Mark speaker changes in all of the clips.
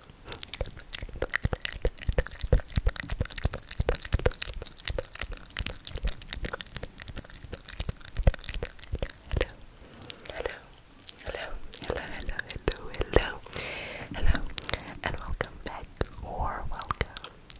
Speaker 1: Hello, hello, hello, hello, hello, hello, hello, and welcome back or welcome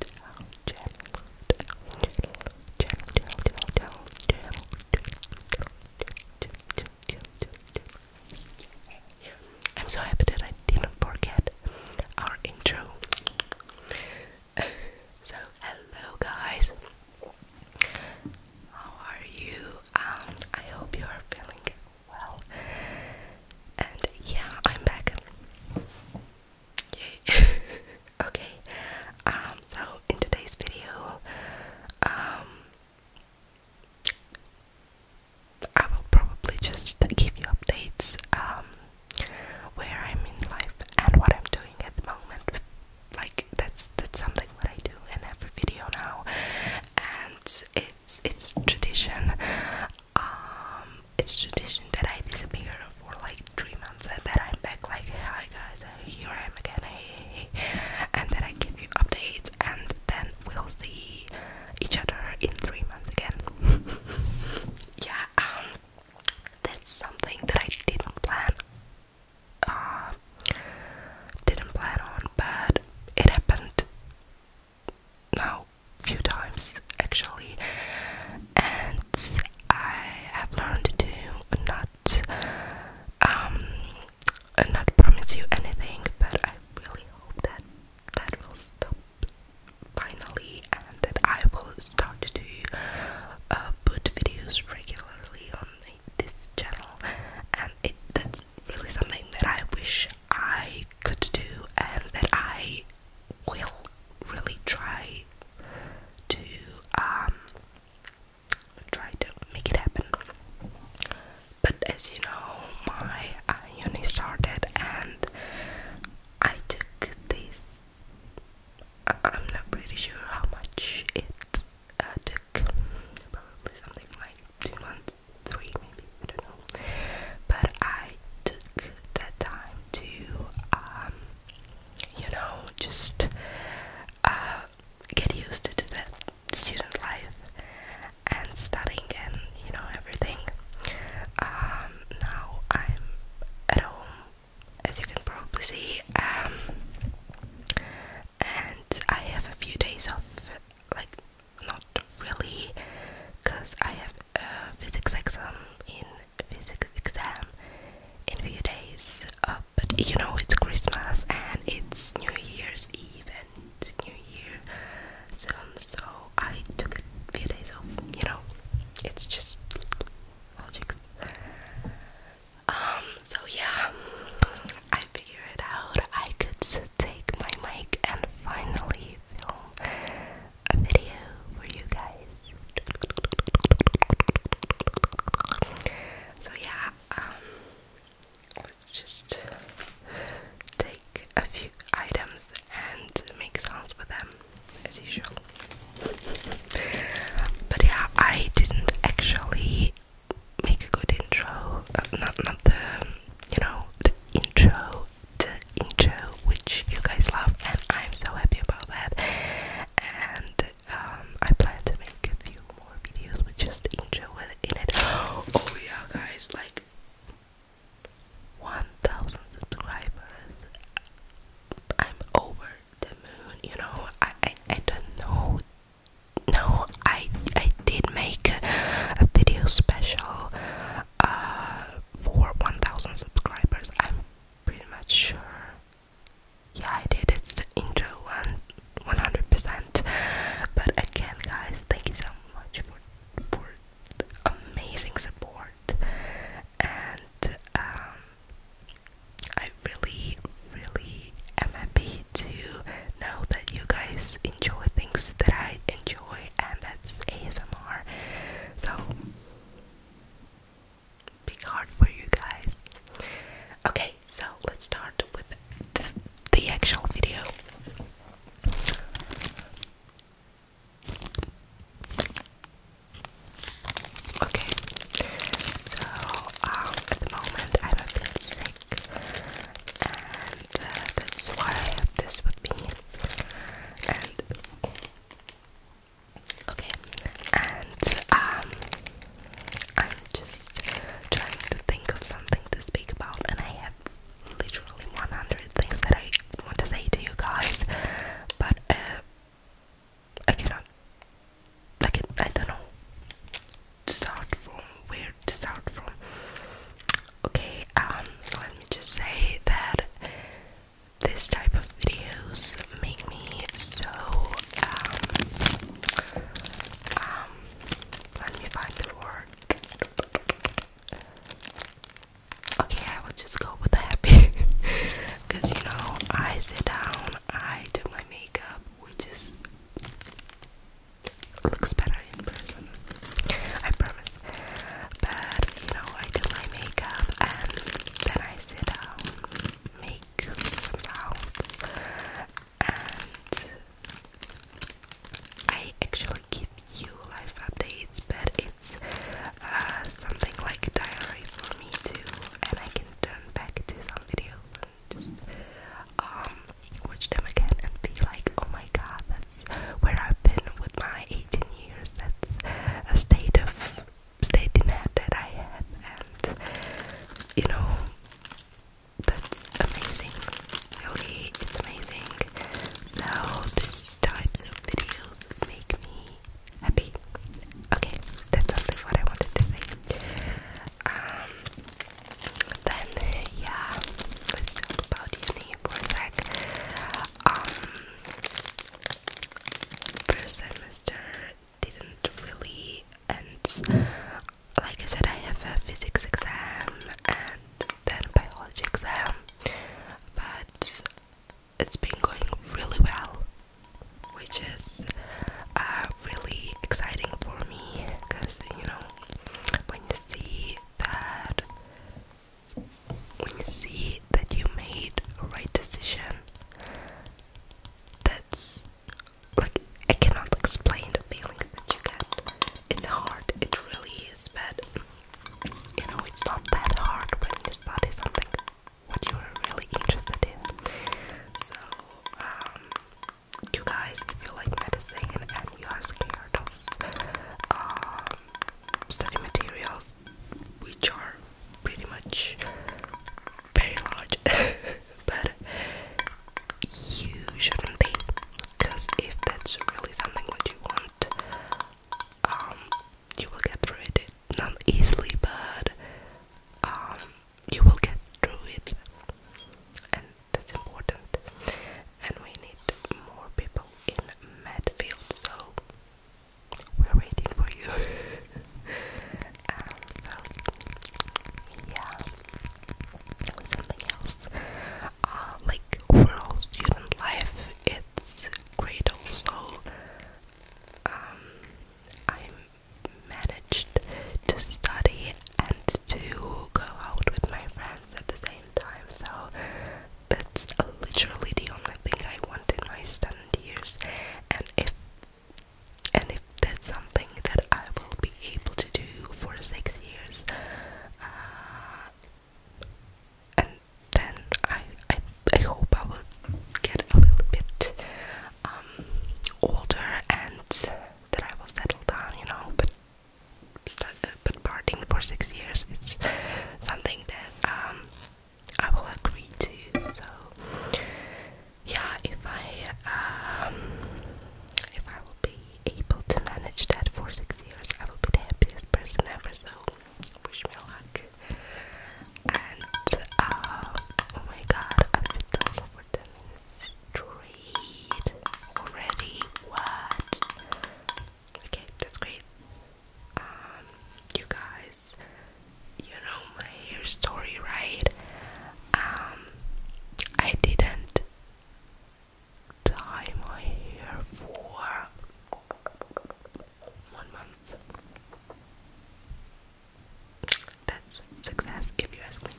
Speaker 1: to our channel, to our channel, channel, channel, channel, channel, channel, channel, channel, channel, channel, channel, channel, channel, I'm so happy that I didn't forget our intro. so, hello guys, how are you? Um, I hope you are feeling well. And yeah, I'm back. Yay. okay. Um, so in today's video, um, I will probably just give you updates um, where I'm in life and what I'm doing at the moment. Like that's that's something that I do in every video now, and it's it's tradition. Um, it's tradition that I disappear for like three months and then I'm back. Like hi guys, here I am again. and then I give you updates, and then we'll see each other in three months again. yeah, um, that's something that I didn't plan, uh, didn't plan on, but it happened now few times actually, and I have learned to not um, and not promise you anything, but I really hope that that will stop finally and that I will start to uh, put videos regularly on this channel and it that's really something that I wish I could do and that I will really try to um, try to make it happen. But as you know, my uh, uni started, and I took this. I am not pretty sure how much it uh, took. Probably something like two months, three maybe. I don't know. But I took that time to, um, you know, just uh, get used to the student life and studying and you know everything. Um, now I'm at home, as you can probably see, um, and I have a few days off, like not really, cause I have a physics exam in physics exam in few days, but you know it's Christmas and it's New Year's Eve and New Year soon, so I took a few days off. You know, it's just logic. Um, so yeah, I figured out I could take my mic and finally film a video for you guys. So yeah, um, let's just take a few items and make sounds with them as usual. But yeah, I didn't actually make a good intro. Uh, not not the you know the intro, the intro which you guys love, and I'm so happy about that. And um, I plan to make a few more videos with just Angel in it. Oh yeah, guys, like 1,000 subscribers. I'm over the moon. You know, I I, I don't know. No, I I did make a, a video special uh, for 1,000 subscribers. I'm pretty much sure. Yeah, I did. It's the intro one. 100% but again guys thank you so much for, for amazing support and um I really really am happy to know that you guys enjoy things that I enjoy and that's ASMR so big heart for you guys okay so let's start with the, actual video. Okay, so um, at the moment I'm a bit sick, and uh, that's why I have this with me. okay, and um, I'm just trying to think of something to speak about, and I have literally 100 things that I want to say to you guys, but uh, I cannot. Like, I don't know. start from where to start from. Okay, um, let me just say that this type of videos make me so um um let me find the word. Okay, I will just go with happy. Because, you know, I sit down, I do my makeup, which is. looks better in person. I promise. But, you know, I do my makeup and then I sit down, make some and I actually keep you life updates, but it's uh, something like diary for me too, and I can turn back to some videos and just um watch them again and be like, oh my god, that's where I've been with my 18 years. That's a state of state in head that I had, and you know that's amazing. Really, it's amazing. So, this type of videos make me happy. Okay, that's only what I wanted to say. Um, then, yeah, let's talk about uni for a sec. Um, first semester didn't really end like I said, I have a physics exam and then a biology exam, but it's been going really well, which is uh, really exciting for me because you know when you see that when you see that you made a right decision, that's like I cannot explain the feelings that you get. It's hard, it really is, but you know it's not that hard when you study something what you're really interested in. So um you guys if you like medicine and you are scared of um, study materials which are pretty much very large but you shouldn't be because if that's really something what you want um you will get through it not easily but um you will get through it and that's important and we need more people in Medfield so we're waiting for you um, yeah something else. Uh, like overall student life, it's great also. Um, I managed to study and to go out with my friends at the same time, so that's literally the only thing I want in my student years. And if and if that's something that I will be able to do for six years, uh, and then I, I I hope I will get a little bit um, older and that I will settle down, you know. But start, but parting for six years, it's something that um, I will agree to. So yeah, if I um, if I will be able to manage that for six years, I will be the happiest person ever. So wish me luck. And uh, oh my god, I've been talking for ten minutes straight already. What? Okay, that's great. Um, you guys, you know my hair story, right? um, I didn't dye my hair for one month. That's success if you ask me.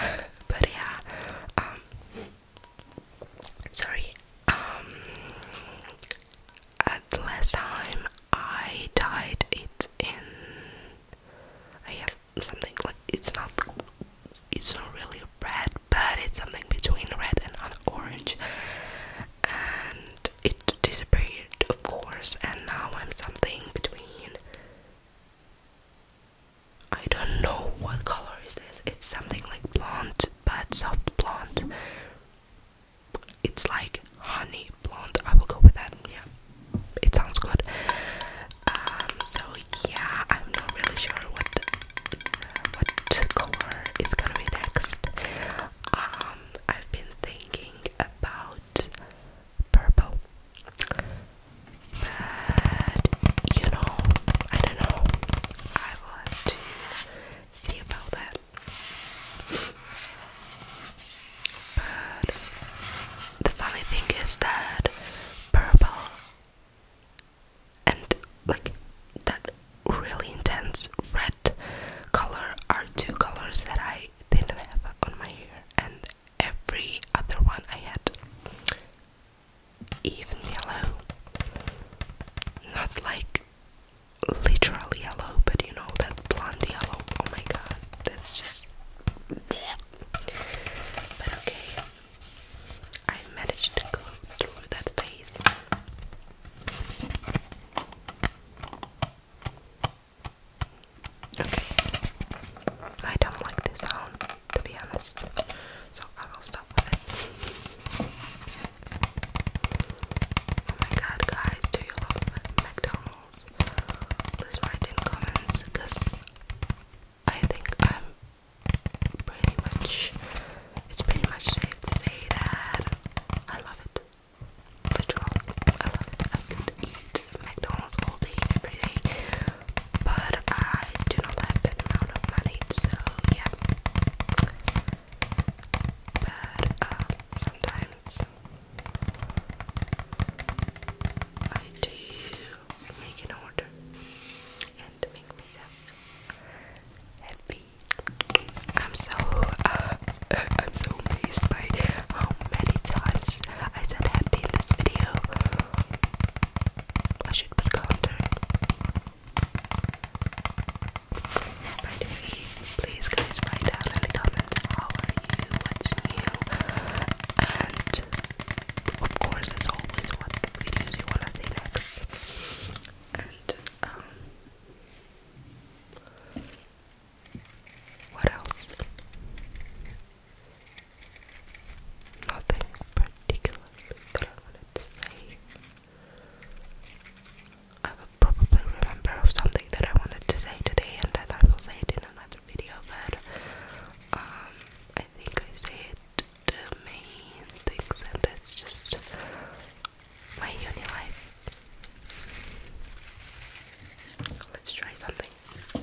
Speaker 1: but yeah, um, sorry. Um, at the last time I dyed it in, I guess something like it's not it's not really red but it's something between red and orange and it disappeared of course and now I'm something between I don't know what color is this it's something like blonde but soft blonde it's like honey blonde I will go with that yeah it sounds good. Um, so yeah, I'm not really sure what what color is gonna be next. Um, I've been thinking about purple, but you know, I don't know. I will have to see about that the funny thing is that purple and like that really intense red color are two colors that I didn't have on my hair, and every other one I had. Even yellow, not like literally yellow, but you know that blonde yellow. Oh my god, that's just but okay, I managed to go through that phase. Okay, I don't like this sound to be honest, so I will stop with it. Oh my god, guys, do you love McDonald's? Please write in comments because I think I'm pretty much it's pretty much safe to say that I love it. Literal. I love it. I could eat McDonald's all day every day. But I do not have that amount of money, so yeah. But uh, sometimes I do make an order and make myself happy. I'm so uh, I'm so amazed by how many times I said happy in this video. I should put counter. By please guys write down in the comment how are you, what's new, and of course as always what videos you wanna see next and um what else? Nothing particularly that I wanted to say. I will probably remember of something that I wanted to say today and that I will say it in another video, but um, I think I said the main things, and that's just my uni life. Let's try something. no.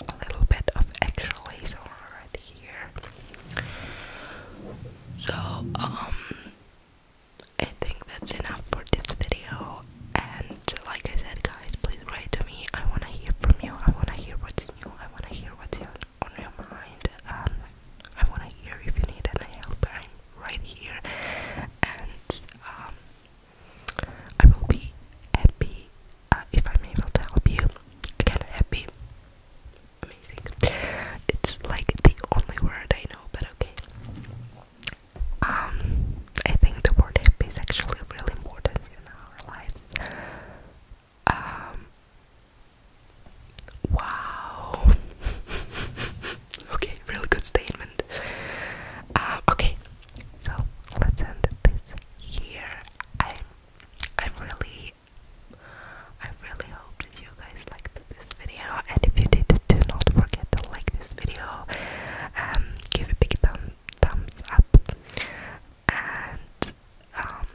Speaker 1: A little bit of extra laser right here. So, um, I think that's enough for this video. And like I said, guys, please write to me. I wanna hear from you. I wanna hear what's I want to hear what's on your mind, um, I want to hear if you need any help. I'm right here, and um, I will be happy uh, if I'm able to help you. Again, happy, amazing. It's like the only word I know, but okay. Um, I think the word happy is actually really important in our life. Um, wow. okay, really good statement. Uh, okay, so let's end this here. I'm, I'm really, I really hope you guys liked this video. And if you did, do not forget to like this video. Um, give a big thumb, thumbs up and um,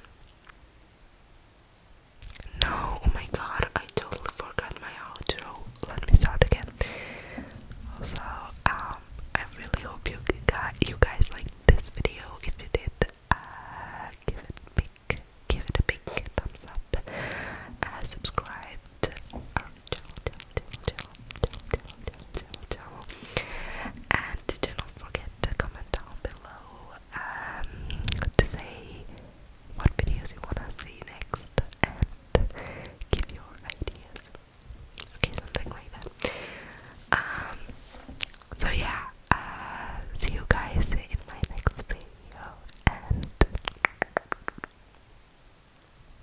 Speaker 1: no oh my god I totally forgot my outro let me start again also um I really hope you got you guys liked this video if you did uh, give it a big give it a big thumbs up subscribe and do not forget to comment down below um, to say what videos you wanna see next and give your ideas. Okay, something like that. Um, so yeah, uh, see you guys in my next video and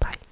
Speaker 1: bye.